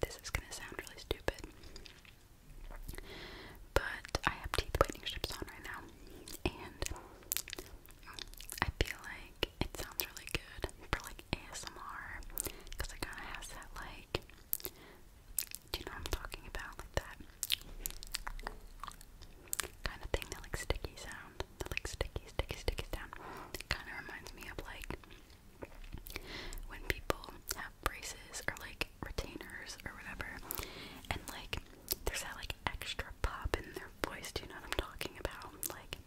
This is gonna sound really stupid, but I have teeth whitening strips on right now, and I feel like it sounds really good for like ASMR because it kind of has that like, do you know what I'm talking about? Like that kind of thing, that like sticky sound, that like sticky, sticky, sticky sound. It kind of reminds me of like when people have braces or like retainers or whatever, and like there's that like extra pop in their voice. Do you know what I'm talking about? Like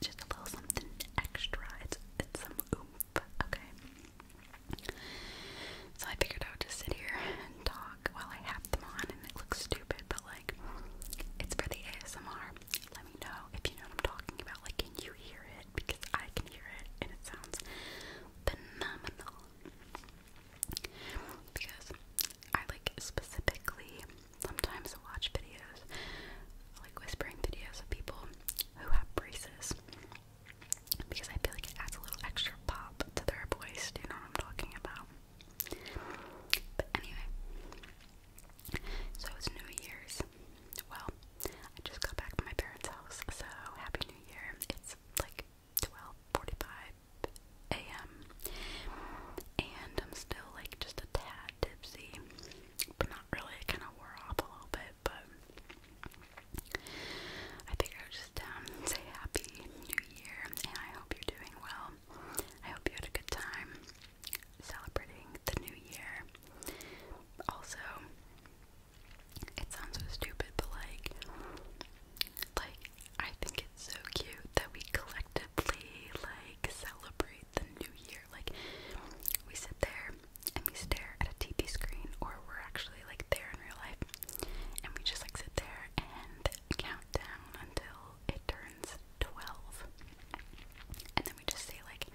just a little something extra. It's it's some oomph. Okay. So I figured I would just sit here and talk while I have them on, and it looks stupid, but like it's for the ASMR let me know if you know what I'm talking about. Like, can you hear it? Because I can hear it and it sounds phenomenal. Because I like specifically sometimes watch videos, like whispering videos of people who have braces. Because I feel like it adds a little extra pop to their voice. you know what I'm talking about? But anyway, so it's New Year's. Well, I just got back from my parents' house, so Happy New Year. It's like 12:45 a.m. and I'm still like just a tad tipsy, but not really. It kind of wore off a little bit, but I think I'll just um, say Happy New Year, and I hope you're doing well. I hope you had a good time celebrating the new year. Also, it sounds so stupid, but like, like I think it's so cute that we collectively like celebrate the new year. Like, we sit there and we stare at a TV screen, or we're actually like there in real life, and we just like sit there and count down until turns 12. And then we just say, like,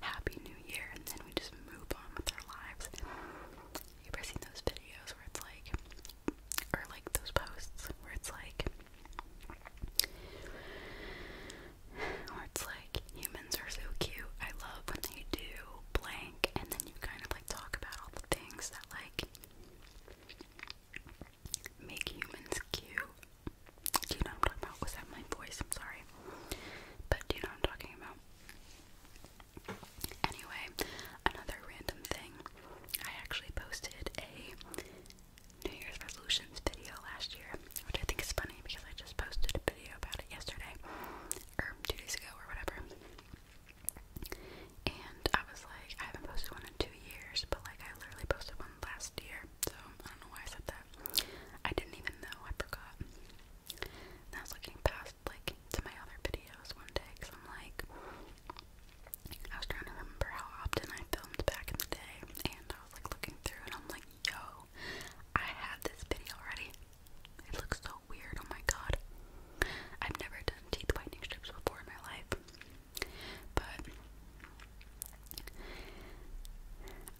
Happy New Year, and then we just move on with our lives. You ever seen those videos where it's like, or like those posts where it's like, where it's like, humans are so cute, I love when they do blank, and then you kind of like talk about all the things that like make humans cute. Do you know I'm talking about? Was that my voice? I'm sorry. But do you know I'm talking about? Anyway, another random thing. I actually posted a New Year's resolutions video last year, which I think is funny because I just posted a video about it yesterday, or two days ago, or whatever. And I was like, I haven't posted one in two years, but like I literally posted one last so I don't know why I said that. I didn't even know, I forgot. I was looking past, like, to my other videos one day, because I'm like, I was trying to remember how often I filmed back in the day, and I was like looking through, and I'm like, yo, I had this video already. It looks so weird, oh my god. I've never done teeth whitening strips before in my life. But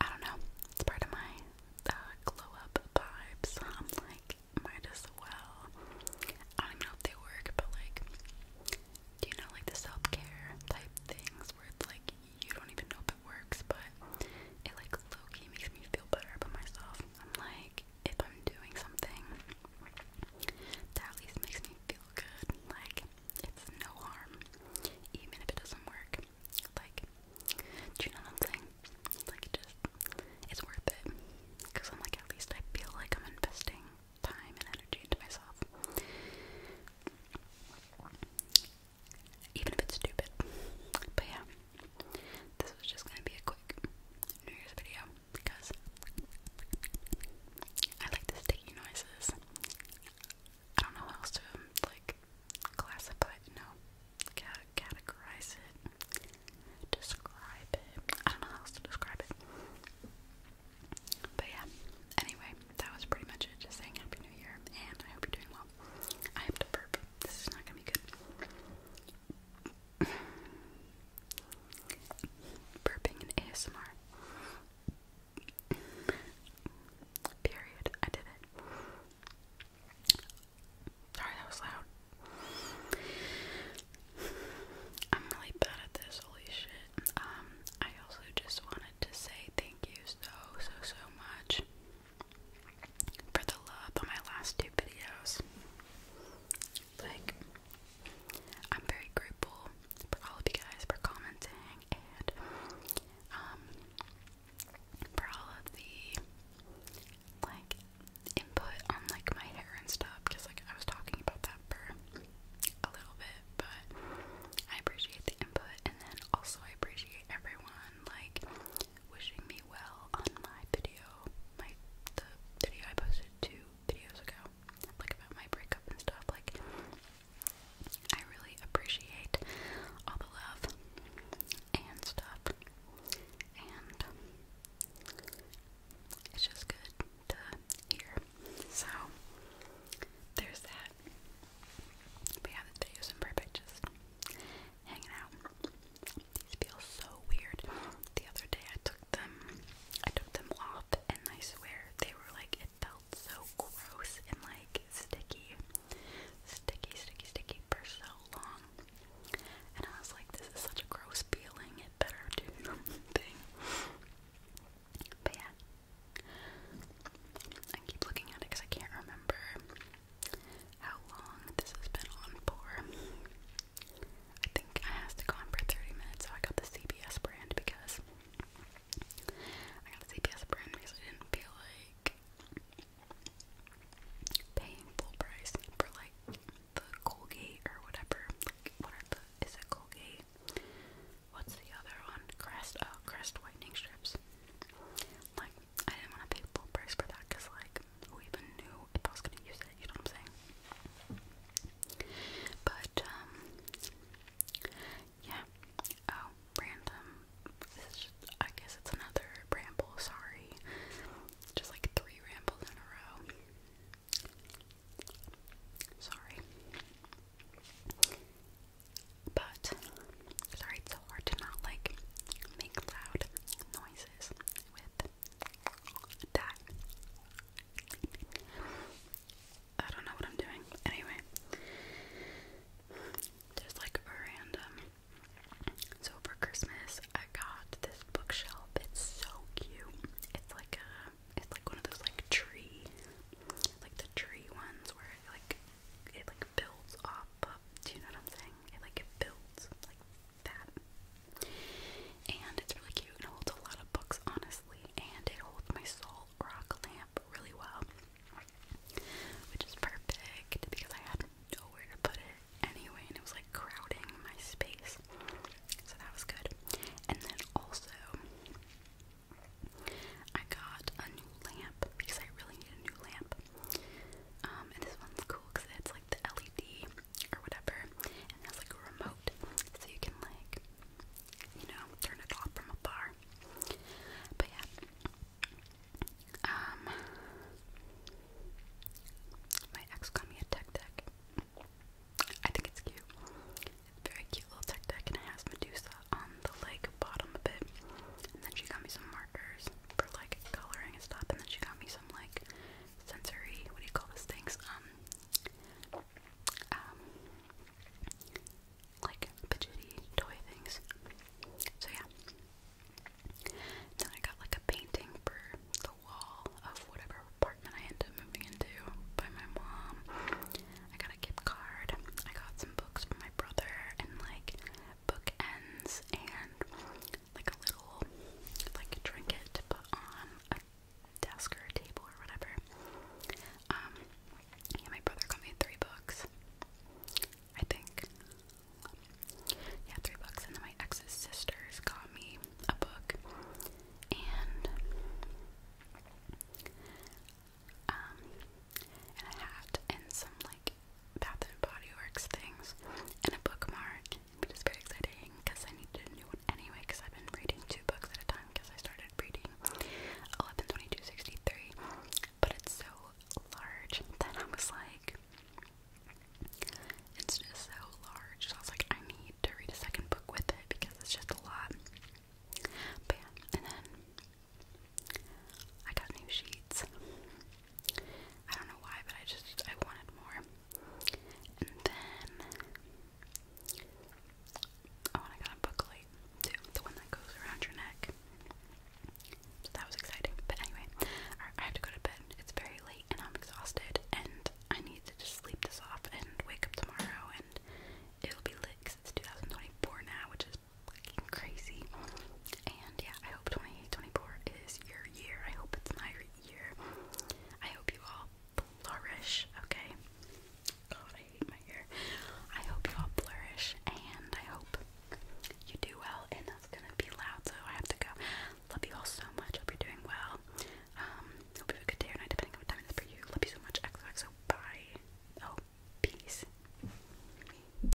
I don't know. It's part of my uh, glow up vibes. I'm like, might as well. I don't know if they work, but like, do you know like the self care type things where it's like you don't even know if it works, but it like low key makes me feel better about myself. I'm like, if I'm doing something that at least makes me feel good, like it's no harm, even if it doesn't work. Like, do you know what I'm saying? Like, just, it's worth it. Because I'm like, at least I feel like I'm investing time and energy into myself. Even if it's stupid. But yeah, this was just gonna be a quick video because I like the sticky noises. I don't know how else to like classify it, no, categorize it, describe it. I don't know how else to describe it. But yeah, anyway, that was pretty much it. Just saying Happy New Year, and I hope you're doing well. I have to burp. This is not gonna be good. Burping and ASMR. Period. I did it. Sorry, that was loud. I'm really bad at this, holy shit. Um, I also just wanted to say thank you so, so, so much for the love on my last two videos. Like, I'm very grateful for all of you guys for commenting and um for all of the like input on like my hair and stuff because like I was talking about that for a little bit, but I appreciate the input and then also I appreciate everyone like wishing me well on my video, my the video I posted two videos ago, like about my breakup and stuff. Like, I really appreciate all the love and stuff, and it's just good to hear. So, there's that. But yeah, this video is imperfect, just hanging out. These feel so weird. The other day I took them I took them off and I swear they were like it felt so gross and like sticky sticky sticky sticky for so long and I was like this is such a gross feeling it better do something but yeah I keep looking at it because I can't remember how long this has been on for I think I asked to go on for 30 minutes, so I got the CBS brand because I got the CBS brand because I didn't feel like paying full price for like the Colgate or whatever. what are the, is it Colgate? What's the other one? Crest, oh, Crest whitening strips. Like, I didn't want to pay full price for that because, like, who even knew if I gonna use it, you know what I'm saying? But um, yeah. Oh, random this is I guess it's another ramble, sorry. Just like three rambles in a row. Sorry. But sorry, it's so hard to not like make loud noises with I don't know what I'm doing. Anyway, there's like a random. So for Christmas, I got this bookshelf. It's so cute. It's like a, it's like one of those like tree, like the tree ones where like it like builds up. Do you know what I'm saying? It like builds like that. And it's really cute and holds a lot of books, honestly. And it holds my salt rock lamp really well, which is perfect because I had nowhere to put it anyway, and it was like crowding my space. So that was good. And then also, I got a new lamp because I really need a new lamp. Um, and this one's cool because it's like the LED or whatever, and has like a remote, so you can like, you know, turn it off from afar. But yeah, um, my ex got me a tech deck. I think it's cute. It's a very cute little tech deck, and it has Medusa on the like bottom of it. And then she got me some markers for like coloring and stuff, and then she got me some like sensory, what do you call those things? Um, um, like fidgety toy things. So yeah. Then I got like a painting for the wall of whatever apartment I ended up moving into by my mom. I got a gift card. I got some books from my brother and like bookends and like a little like a trinket to put on a desk or a table or whatever. yeah, um, my brother got me three books, I think. Yeah, three books, and then my ex's sisters got me a book, and um, and a hat and some like like Bath and Body Works things and a bookmark, which is very exciting because I needed a new one anyway because I've been reading two books at a time because I started reading 112263, but it's so large that I was like, it's just so large, so I was like, I need to read a second book with it because it's just a lot. But yeah, and then I got new sheets. I don't know why, but I just I wanted more. And then oh, I got a booklet too, the one that goes around your neck. So that was exciting. But anyway, I have to go to bed. It's very late and I'm exhausted, and I need to just sleep this off and wake up tomorrow, and it'll be lit. Cause it's 2024 now, which is crazy. And yeah, I hope 2024 is your year. I hope it's my year. I hope you all flourish, okay? God, I hate my year. I hope you all flourish and I hope you do well. And that's gonna be loud, so I have to go. Love you all so much. Hope you're doing well. Um, hope you have a good day or night, depending on what time it is for you. Love you so much. XOXO. Bye. Oh, peace.